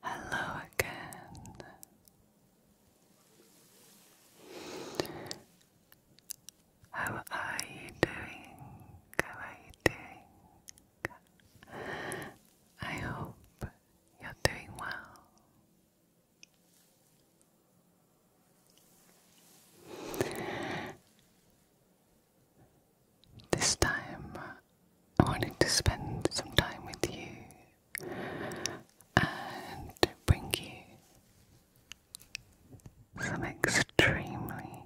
Hello again. How are you doing? How are you doing? I hope you're doing well. This time I wanted to spend some time with you and bring you some extremely,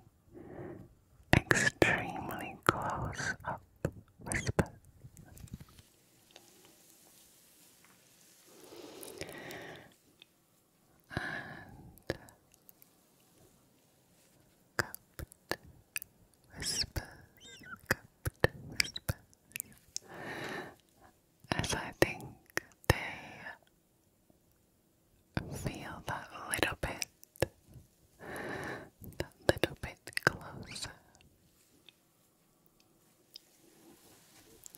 extremely close up whispers and cupped whispers, cupped whispers, as I think they feel that little bit, that little bit closer.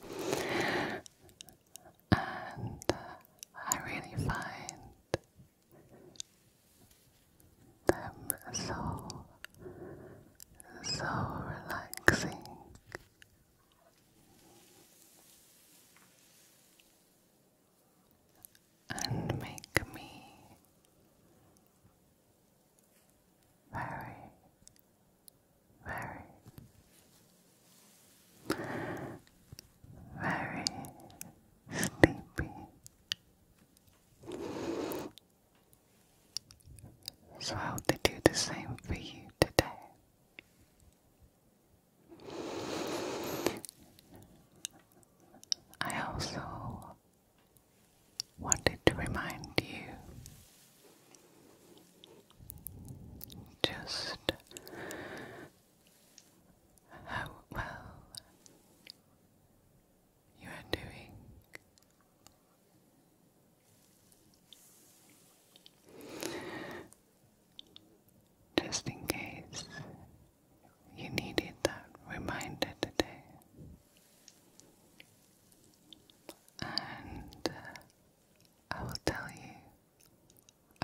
And uh, I really find them so, so relaxing. And make me very very, very sleepy. So I hope they do the same for you today. I also wanted to remind you just how well you are doing. Just in case you needed that reminder today. And uh, I will tell you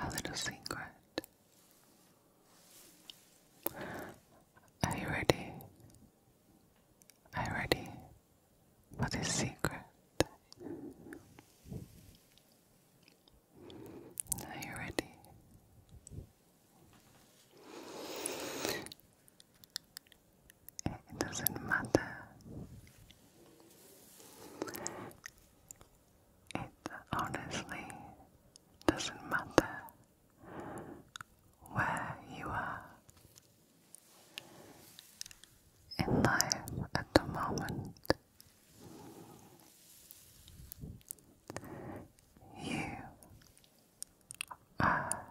a little secret. Are you ready? Are you ready for this secret? Are you ready? it doesn't matter. It honestly doesn't matter where you are in life at the moment. You are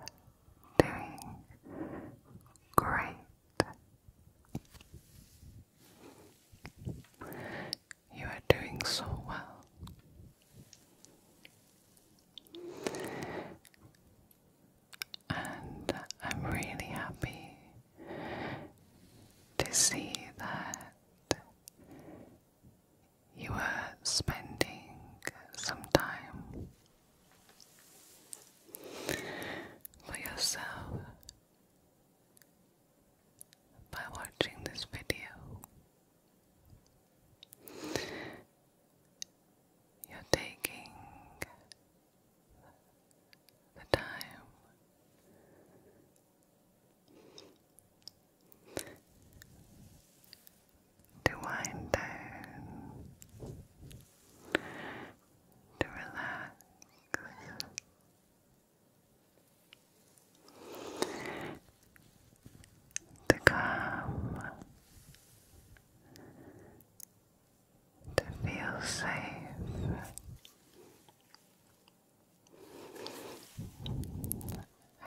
doing great. You are doing so well. And I'm really happy to see that you are spending some time for yourself by watching this video. You're taking the time to wind down to relax. To come, to feel safe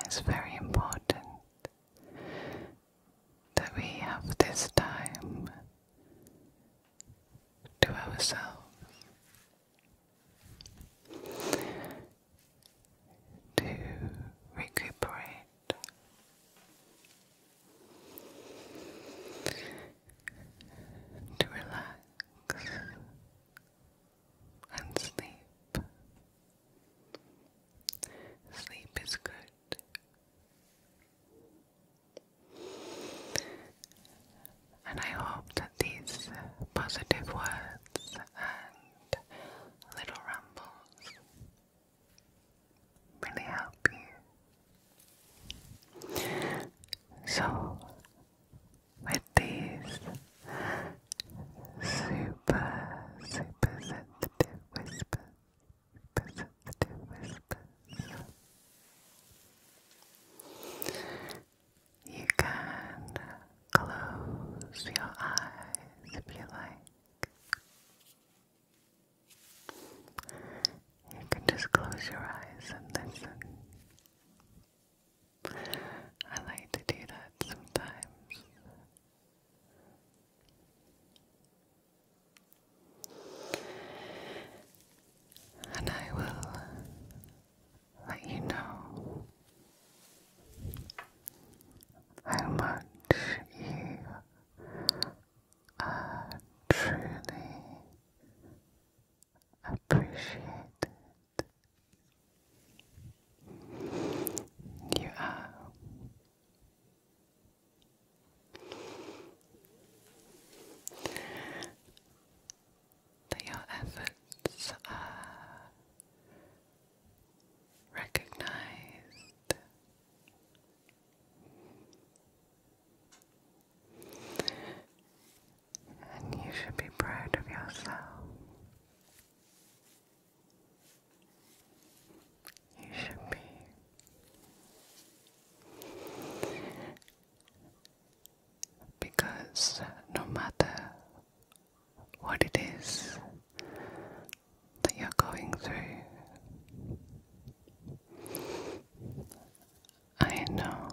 is very important that we have this time to ourselves to recuperate. To relax and sleep. Sleep is good. And I hope that these positive words and little rambles really help you. So, with these super, super sensitive whispers perceptive whispers. You can close your eyes if you like. You can just close your eyes and listen. I like to do that sometimes and I will let you know how much you truly appreciate You are that your efforts are recognized. And you should be proud of yourself. You should be. Because no matter what it is that you're going through, I know,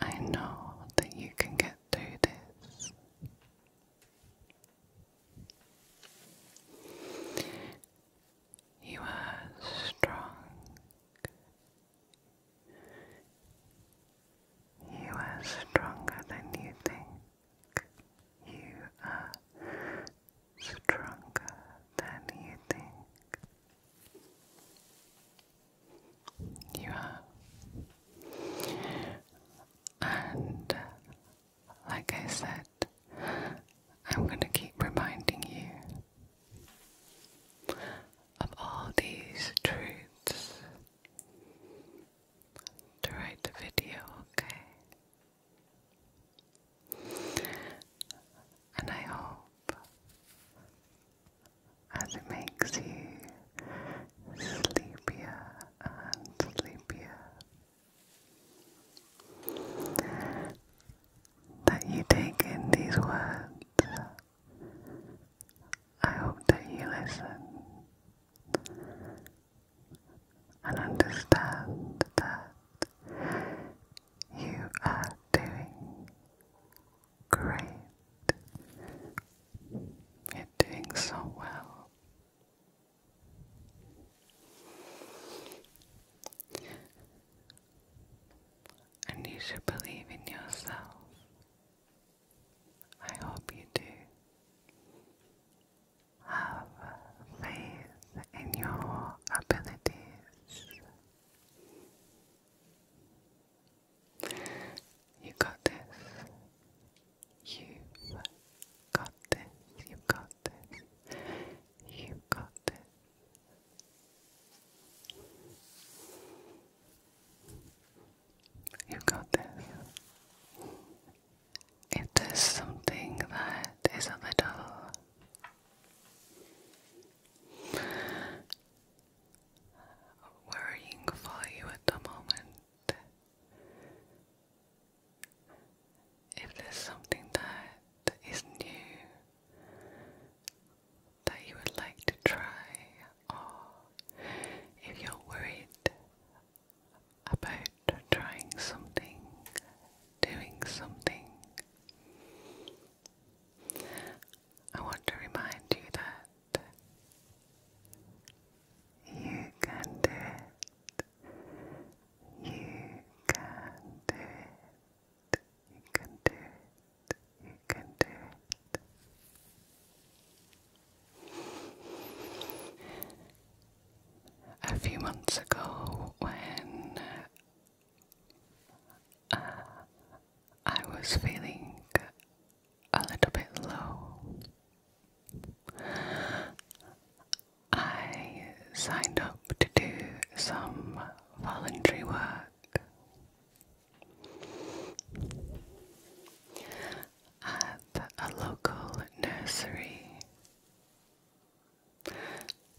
I know that you can get through this. You are strong. You are stronger than you think. You are stronger than you think. You are. And like I said, I'm going to keep reminding you of all these truths throughout the video, okay? And I hope as it makes you sleepier and sleepier that you take in these words. I hope that you listen and understand that you are doing great. You're doing so well. And you should believe in yourself. I hope you do. Have faith in your abilities. You got this. you got this. you got you got this. You got this. If something that is a little worrying for you at the moment, if there's something that is new that you would like to try, or if you're worried about trying something, doing something, I want to remind you that you can do it. You can do it. You can do it. You can do it. A few months ago, when uh, I was feeling a little bit low, I signed up to do some voluntary work at a local nursery,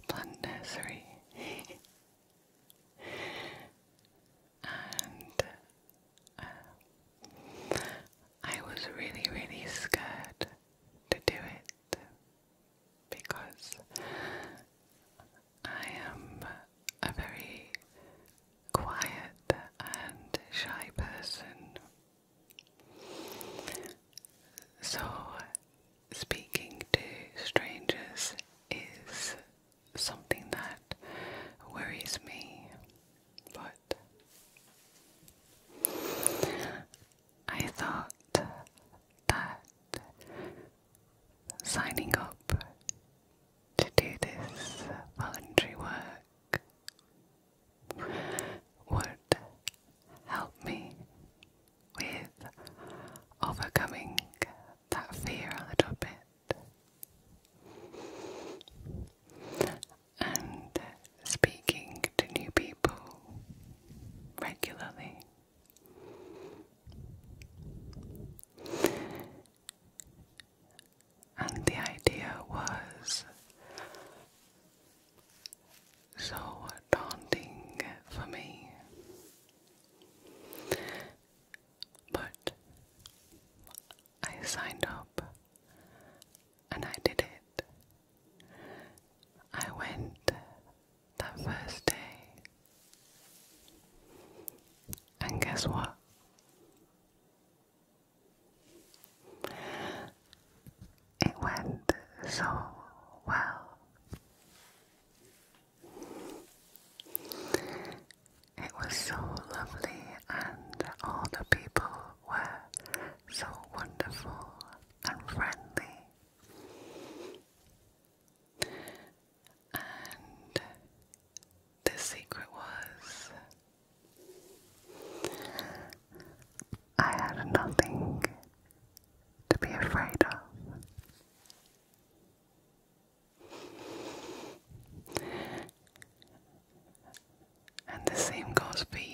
plant nursery, and uh, I was really, really scared to do it because I am a very quiet and shy person. So, speaking to strangers is something that worries me, but I thought that signing up to do this voluntary work would help me with overcoming that fear a little bit and speaking to new people regularly. And the idea was so daunting for me, but I signed up and I did it. I went that first day, and guess what? It went so well. It was so lovely, and all the people were so wonderful and friendly. And the secret was I had nothing to be afraid of. And the same goes for you.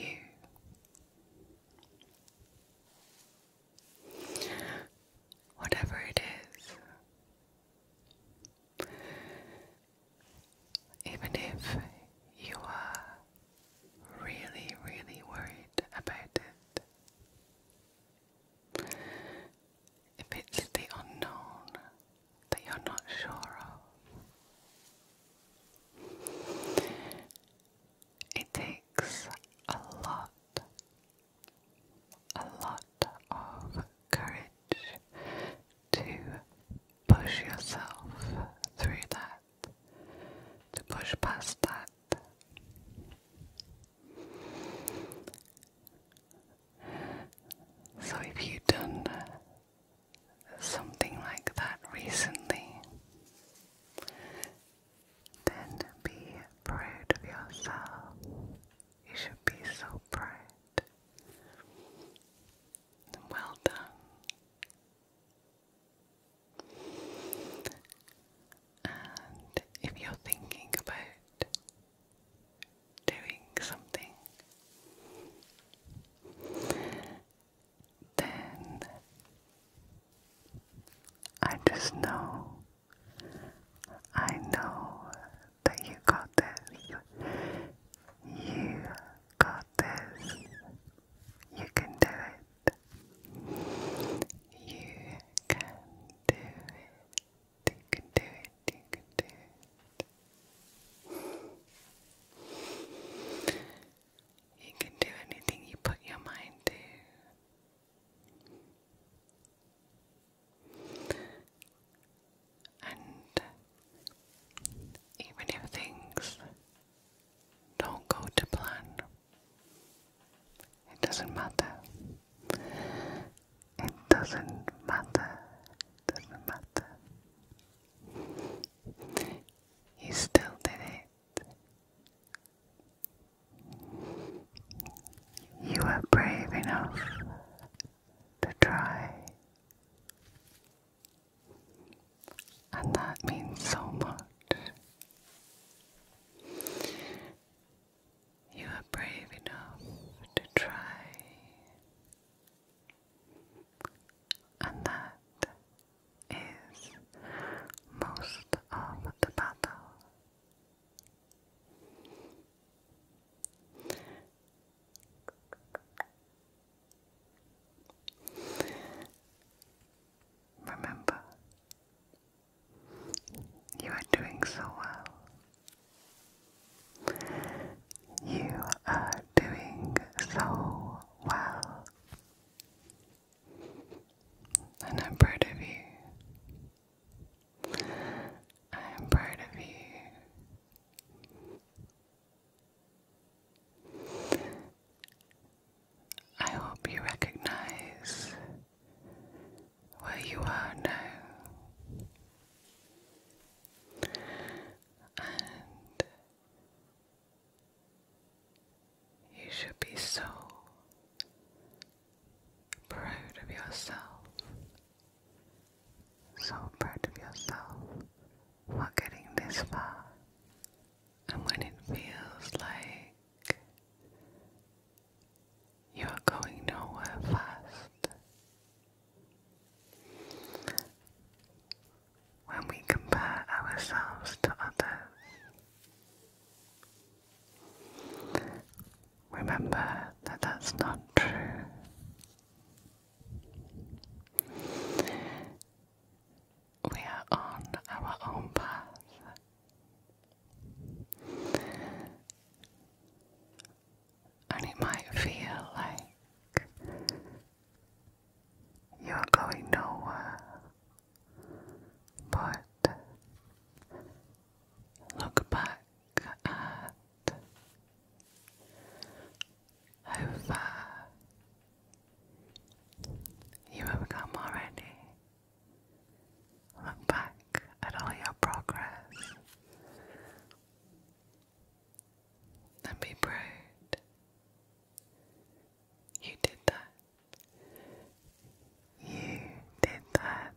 Whatever it is, even if you are really, really worried about it, if it's the unknown that you're not sure of, it takes a lot, a lot of courage to push yourself through that, to push past that. So, if you've done something like that recently, then be proud of yourself. You should be so proud. Well done. And if you're thinking about doing something, then I just know, I know that you got this. You got this. You can do it. You can do it. You can do it. You can do it. You can do anything you put your mind to. And even if things don't go to plan, it doesn't matter. It doesn't matter. It doesn't matter. You still did it. You were brave enough to try. And that means so much. You are brave enough to try. And that is most of the battle. Remember, you are doing so well. You are doing so well. And I'm proud of you. I am proud of you. I hope you recognize where you are now. And you should be so proud of yourself. So proud of yourself for getting this far. And when it feels like you are going nowhere fast, when we compare ourselves to others. Remember that that's not true. We are on our own path. And it might feel like you're going nowhere. But look back at how far you have come already. Look back at all your progress and be proud you did that. You did that.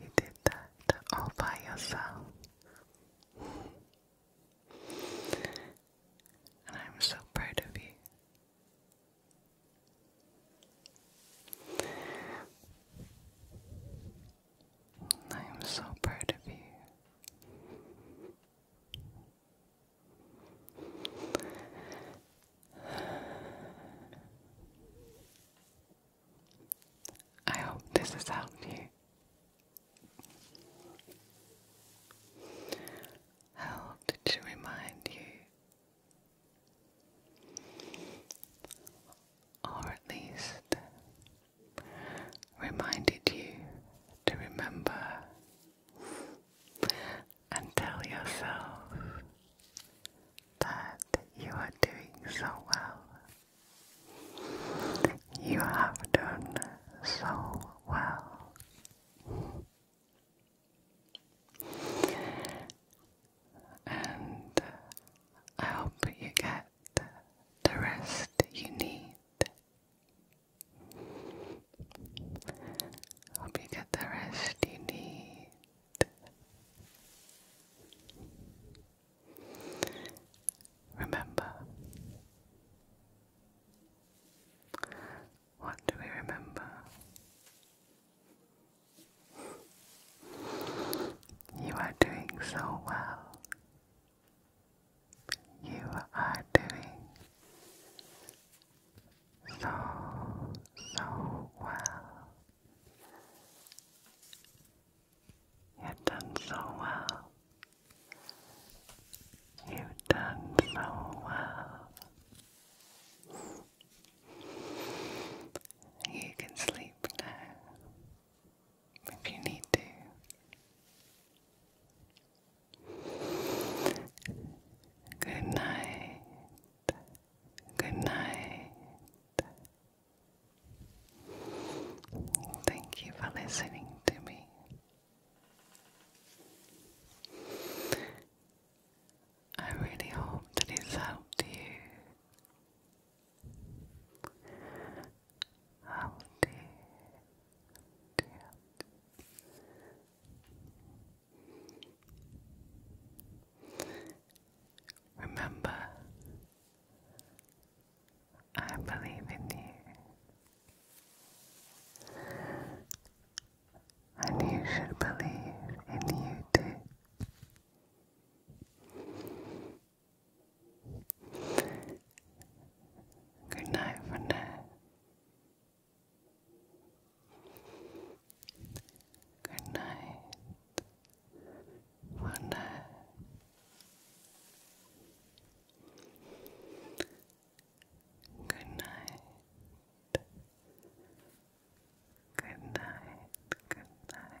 You did that all by yourself. And I'm so proud of you. I am so proud of you. I hope this has helped you. Helped to remind you, or at least reminded you to remember and tell yourself that you are doing so well. You have done so well. And I hope you get the rest you need Hope you get the rest you need. Remember, what do we remember? You are doing so well. You are doing so, so well. You've done so well. You've done so well. You can sleep now if you need to. Good night. Good night. Thank you for listening to me. I really hope that it's helped you. Howdy. Remember, I believe in you, and you should believe in you too. Good night for now. Good night for now. Good night. Good night. Good night.